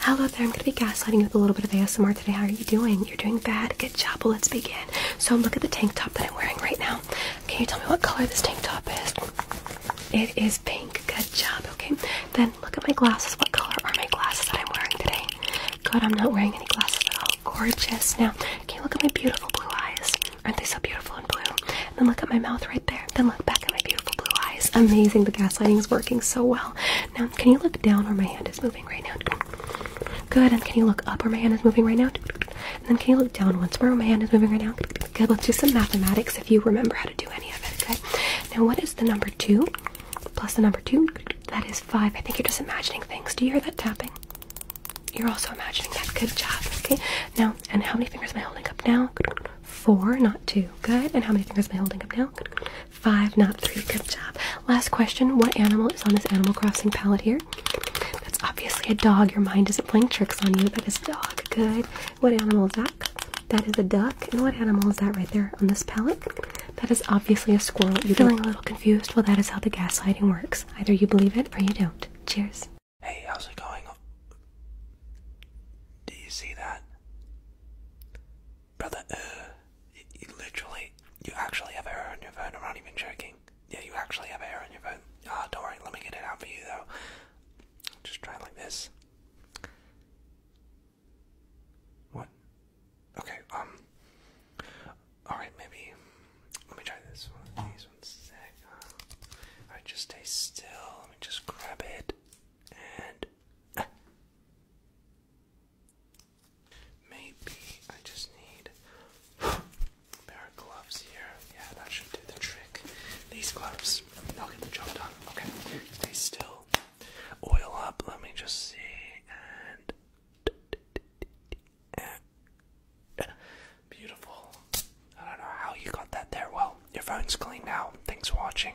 Hello there, I'm going to be gaslighting you with a little bit of ASMR today. How are you doing? You're doing bad? Good job. let's begin. So look at the tank top that I'm wearing right now. Can you tell me what color this tank top is? It is pink. Good job. Okay. Then look at my glasses. What color are my glasses that I'm wearing today? God, I'm not wearing any glasses at all. Gorgeous. Now, okay. look at my beautiful blue eyes? Aren't they so beautiful and blue? then look at my mouth right there. Then look back at my beautiful blue eyes. Amazing. The gaslighting is working so well. Now, can you look down where my hand is moving right now? Good. And can you look up where my hand is moving right now? And then can you look down once more where my hand is moving right now? Good. Let's do some mathematics if you remember how to do any of it. Okay. Now, what is the number two plus the number two? That is five. I think you're just imagining things. Do you hear that tapping? You're also imagining that. Good job. Okay. Now, and how many fingers am I holding up now? Four, not two. Good. And how many fingers am I holding up now? Five, not three. Good job. Last question What animal is on this Animal Crossing palette here? That's obviously a dog. Your mind isn't playing tricks on you. That is a dog. Good. What animal is that? That is a duck. And what animal is that right there on this palette? That is obviously a squirrel. You're feeling a little confused? Well, that is how the gaslighting works. Either you believe it or you don't. Cheers. Hey, how's it going? Do you see that? Brother, uh, you, you literally, you actually have hair on your phone. I'm not even joking. Yeah, you actually have hair on your phone. Ah, oh, don't worry. Let me get it out for you though. Just try it like this. What? Okay. Um. All right. Maybe. Let me try this one. These ones. Sick. All right. Just stay still. Let me just grab it and uh, maybe I just need pair of gloves here. Yeah, that should do the trick. These gloves, they'll get the job done. Okay, stay still. Oil up. Let me just see and. Beautiful. I don't know how you got that there. Well, your phone's clean now. Thanks for watching.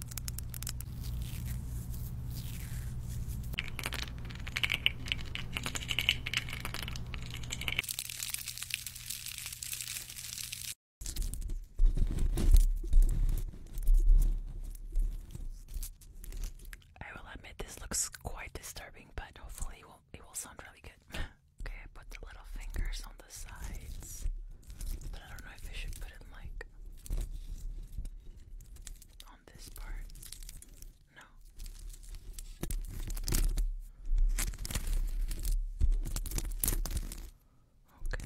I will admit this looks quite disturbing, but hopefully it will, it will sound really good. okay, I put the little fingers on the sides, but I don't know if I should put it like on this part. No. Okay.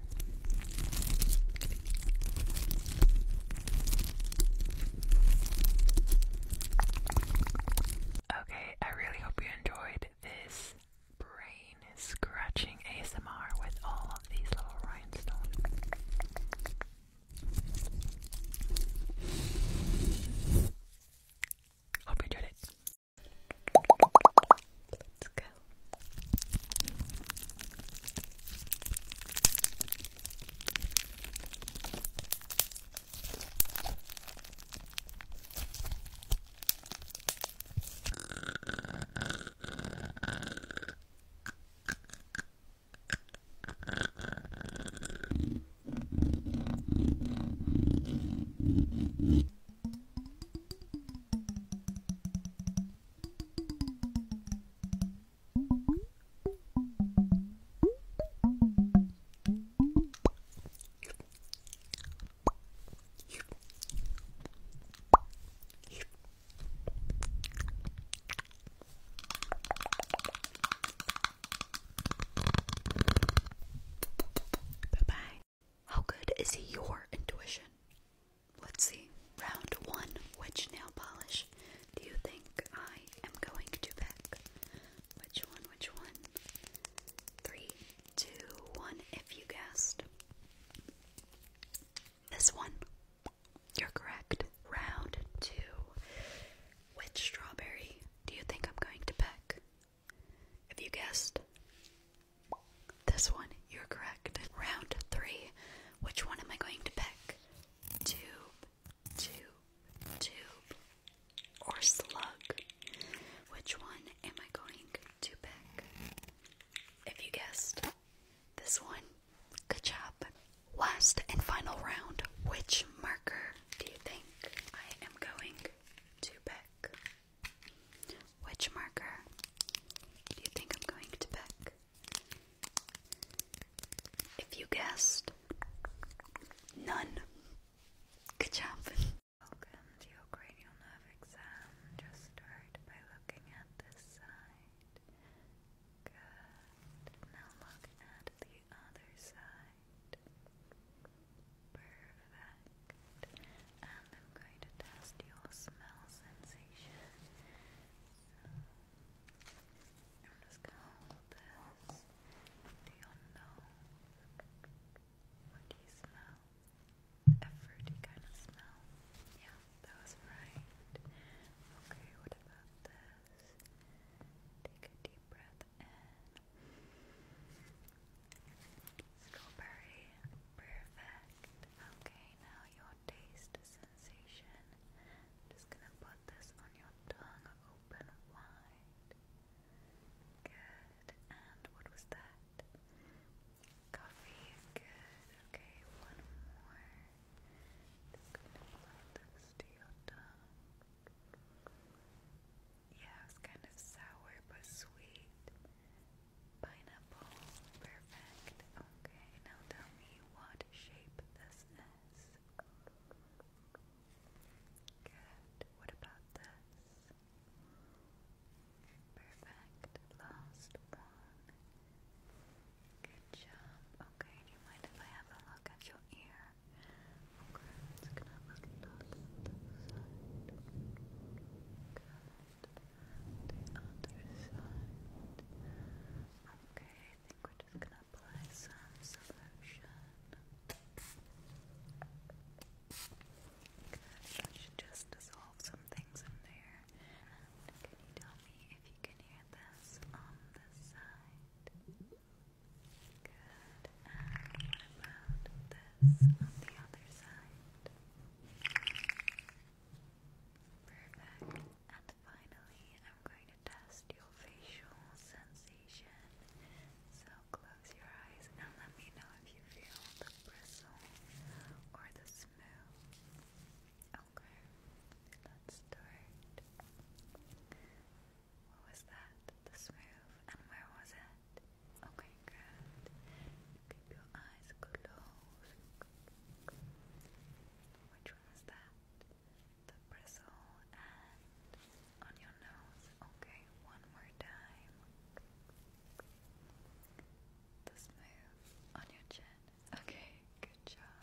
Okay, I really hope you enjoyed this brain scratching ASMR with all of these little rhinestones. Hope you enjoyed it. Let's go. Good. How good is your intuition? let's see, round one. Which nail polish do you think I am going to pick? Which one? Which one? Three, two, one. If you guessed this one, you're correct. Round two. Which strawberry do you think I'm going to pick? If you guessed this one, you're correct. Round three. Which one am I going to pick? Tube, tube, tube, or slug? Which one am I going to pick? If you guessed this one, good job. Last and final round. Which marker do you think I am going to pick? Which marker do you think I'm going to pick? If you guessed, none. Good job. Welcome to your cranial nerve exam. Just start by looking at this side. Good. Now look at the other side. Perfect. Good. And I'm going to test your smell sensation. I'm just going to hold this to your What do you smell? A fruity kind of smell. Yeah, that was right. Okay, what about this? Take a deep breath in. Strawberry. Perfect. Okay, now your taste sensation. just gonna put this on your tongue, open wide. Good. And what was that? Coffee. Good. Okay, one more. Just gonna apply this to your tongue. Yeah, it was kind of sour but sweet. Pineapple. Perfect. Okay, now tell me what shape this is. Good. What about this? Perfect. Last one. Good job. Okay, do you mind if I have a look at your ear? Okay, i gonna look at the side. Good the other side. Okay, I think we're just gonna apply some solution. should just dissolve some things in there. can you tell me if you can hear this on this side? Good, and what about this on the other side? Perfect. And finally, I'm going to test your facial sensation. So close your eyes and let me know if you feel the bristle or the smooth. Okay, let's What was that? The smooth, and where was it? Okay, good. Keep your eyes closed. Which one is that? The bristle and on your nose. Okay, one more time. The smooth on your chin. Okay, good job.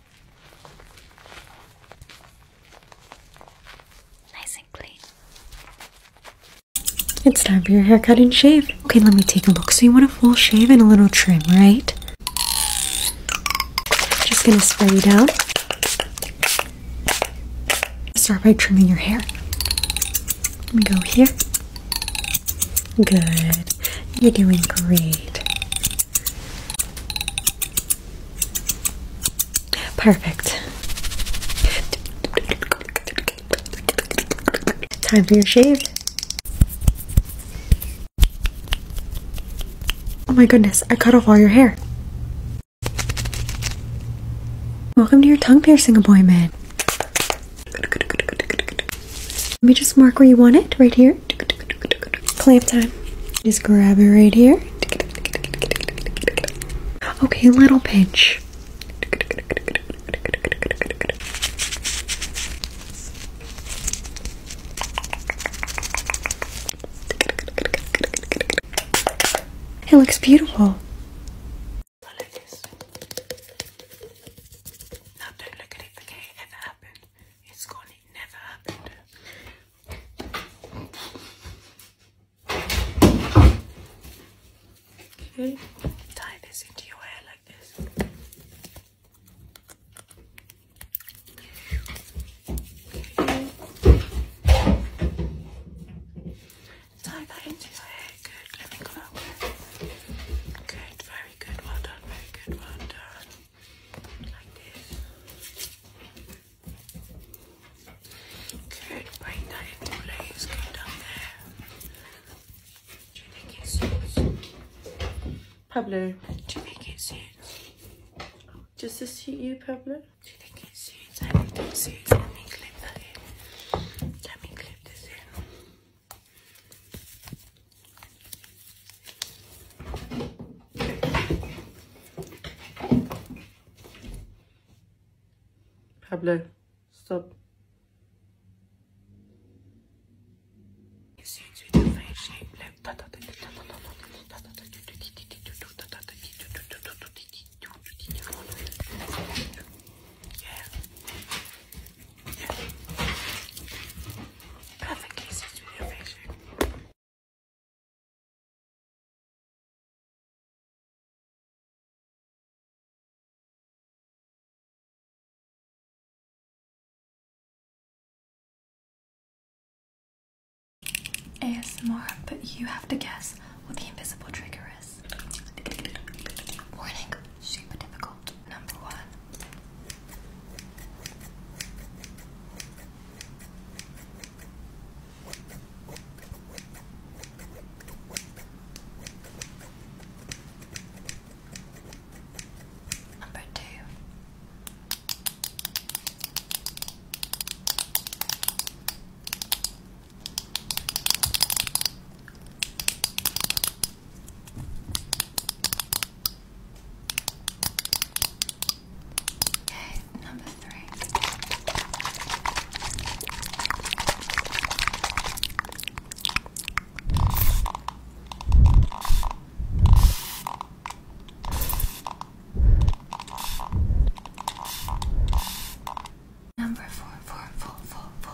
Nice and clean. It's time for your haircut and shave. Okay, let me take a look. So you want a full shave and a little trim, right? Just gonna spray you down. Start by trimming your hair. Let me go here. Good. You're doing great. Perfect. Time for your shave. Oh my goodness, I cut off all your hair. Welcome to your tongue piercing appointment. Let me just mark where you want it, right here. Clamp time. Just grab it right here. Okay, little pinch. It looks beautiful. It's gone, never happened. Tie this into your hair like this. Tie that into your hair. Good. Let me come out. Good. Very good, well done, very good, well done. Like this. Good, bring that Do you think it suits? Pablo, do you think it suits? Does this suit you, Pablo? Do you think it suits? Let me clip that in. Let me clip this in. Pablo, stop. Yeah. Perfect cases with your ASMR, but you have to guess what the invisible trigger is. Warning, super difficult. Number one. Number two. Okay, number three. Number four, four, four, four, four.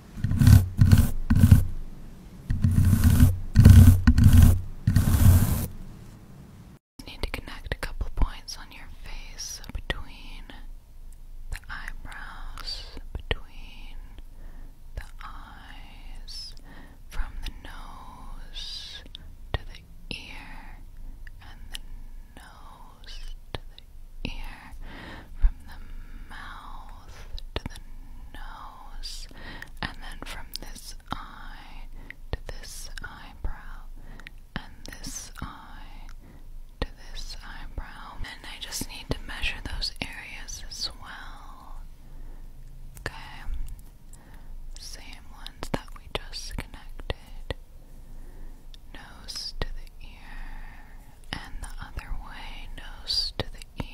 need to connect a couple points on your face between the eyebrows, between the eyes, from the nose to the ear, and the nose to the ear from the mouth to the nose, and then from this eye to this eyebrow, and this eye to this eyebrow. And I just need to measure those areas as well. Okay. Same ones that we just connected. Nose to the ear, and the other way, nose to the the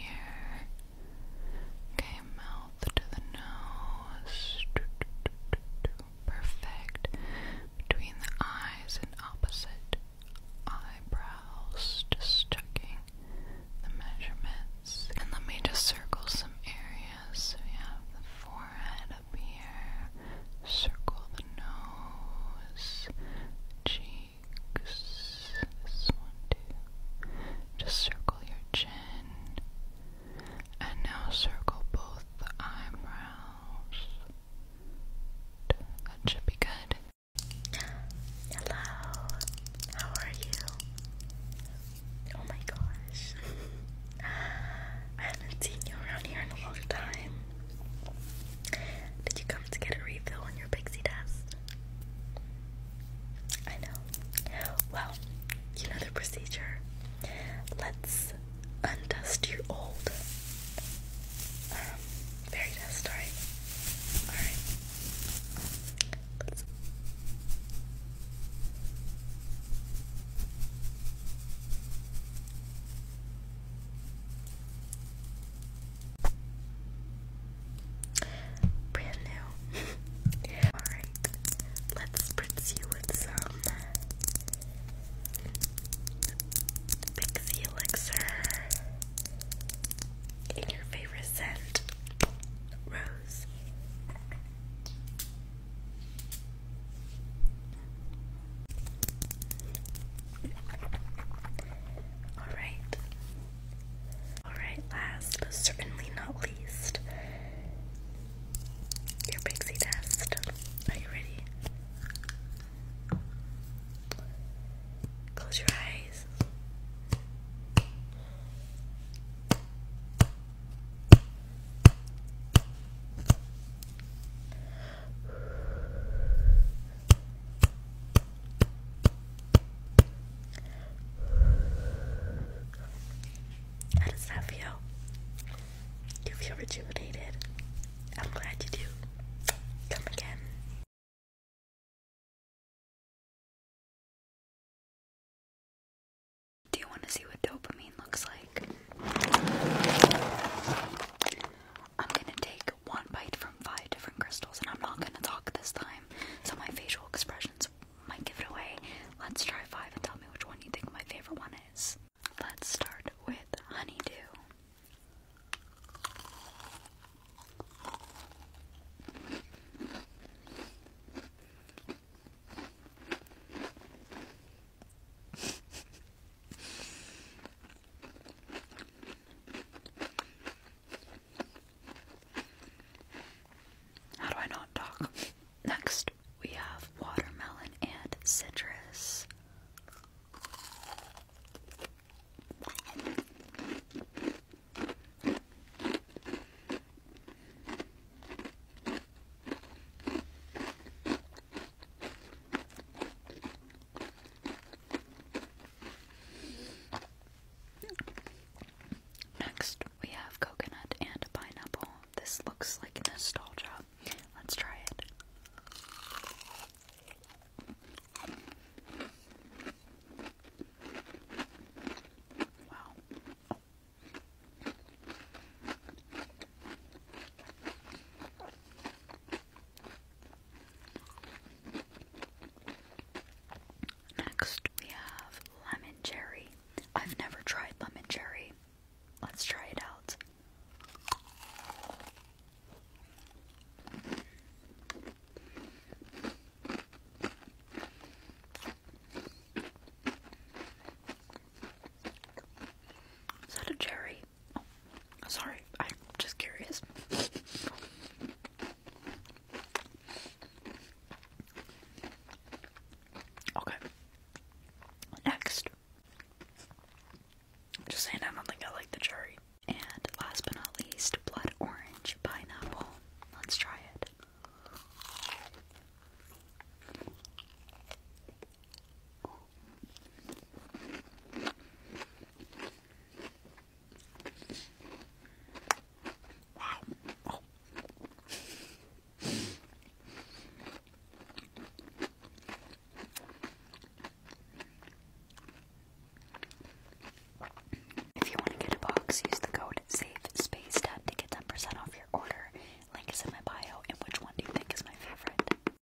Okay, mouth to the nose. Perfect. Between the eyes and opposite eyebrows. Just checking the measurements. And let me just circle some areas. So we have the forehead up here. Circle the nose. Cheek. Just circle your chin. And now circle both the eyebrows. That should be good. Hello. How are you? Oh my gosh. I haven't seen you around here in a long time. Did you come to get a refill on your pixie dust? I know. Well, you know the procedure. Let's undust your old um, fairy dust, alright? Alright. Brand new. Alright, let's spritz you with some Pixie Elixir in your favorite scent, Rose. Alright. Alright, last but certainly not least, your pixie test. Are you ready? Close your eyes. How does that feel? Do you feel rejuvenated? I'm glad you do. Come again. Do you want to see what dopamine looks like? I'm going to take one bite from five different crystals, and I'm not gonna talk this time, so my facial expressions might give it away. Let's try five and tell me which one you think my favorite one is. Let's start with honeydew. How do I not talk? Next, we have watermelon and citrus. Next, we have coconut and pineapple. This looks like nostalgia. Let's try it. Wow. Next, we have lemon cherry. I've never tried lemon cherry. Let's try it out. Is that a cherry? Oh, sorry, I'm just curious. Okay. Next. Just saying, I don't think I like the cherry. And last but not least, blood orange pineapple. Let's try it. Wow. If you want to get a box, use the code SAVESPACEDUB to get 10 off your order. Link is in my bio. And which one do you think is my favorite?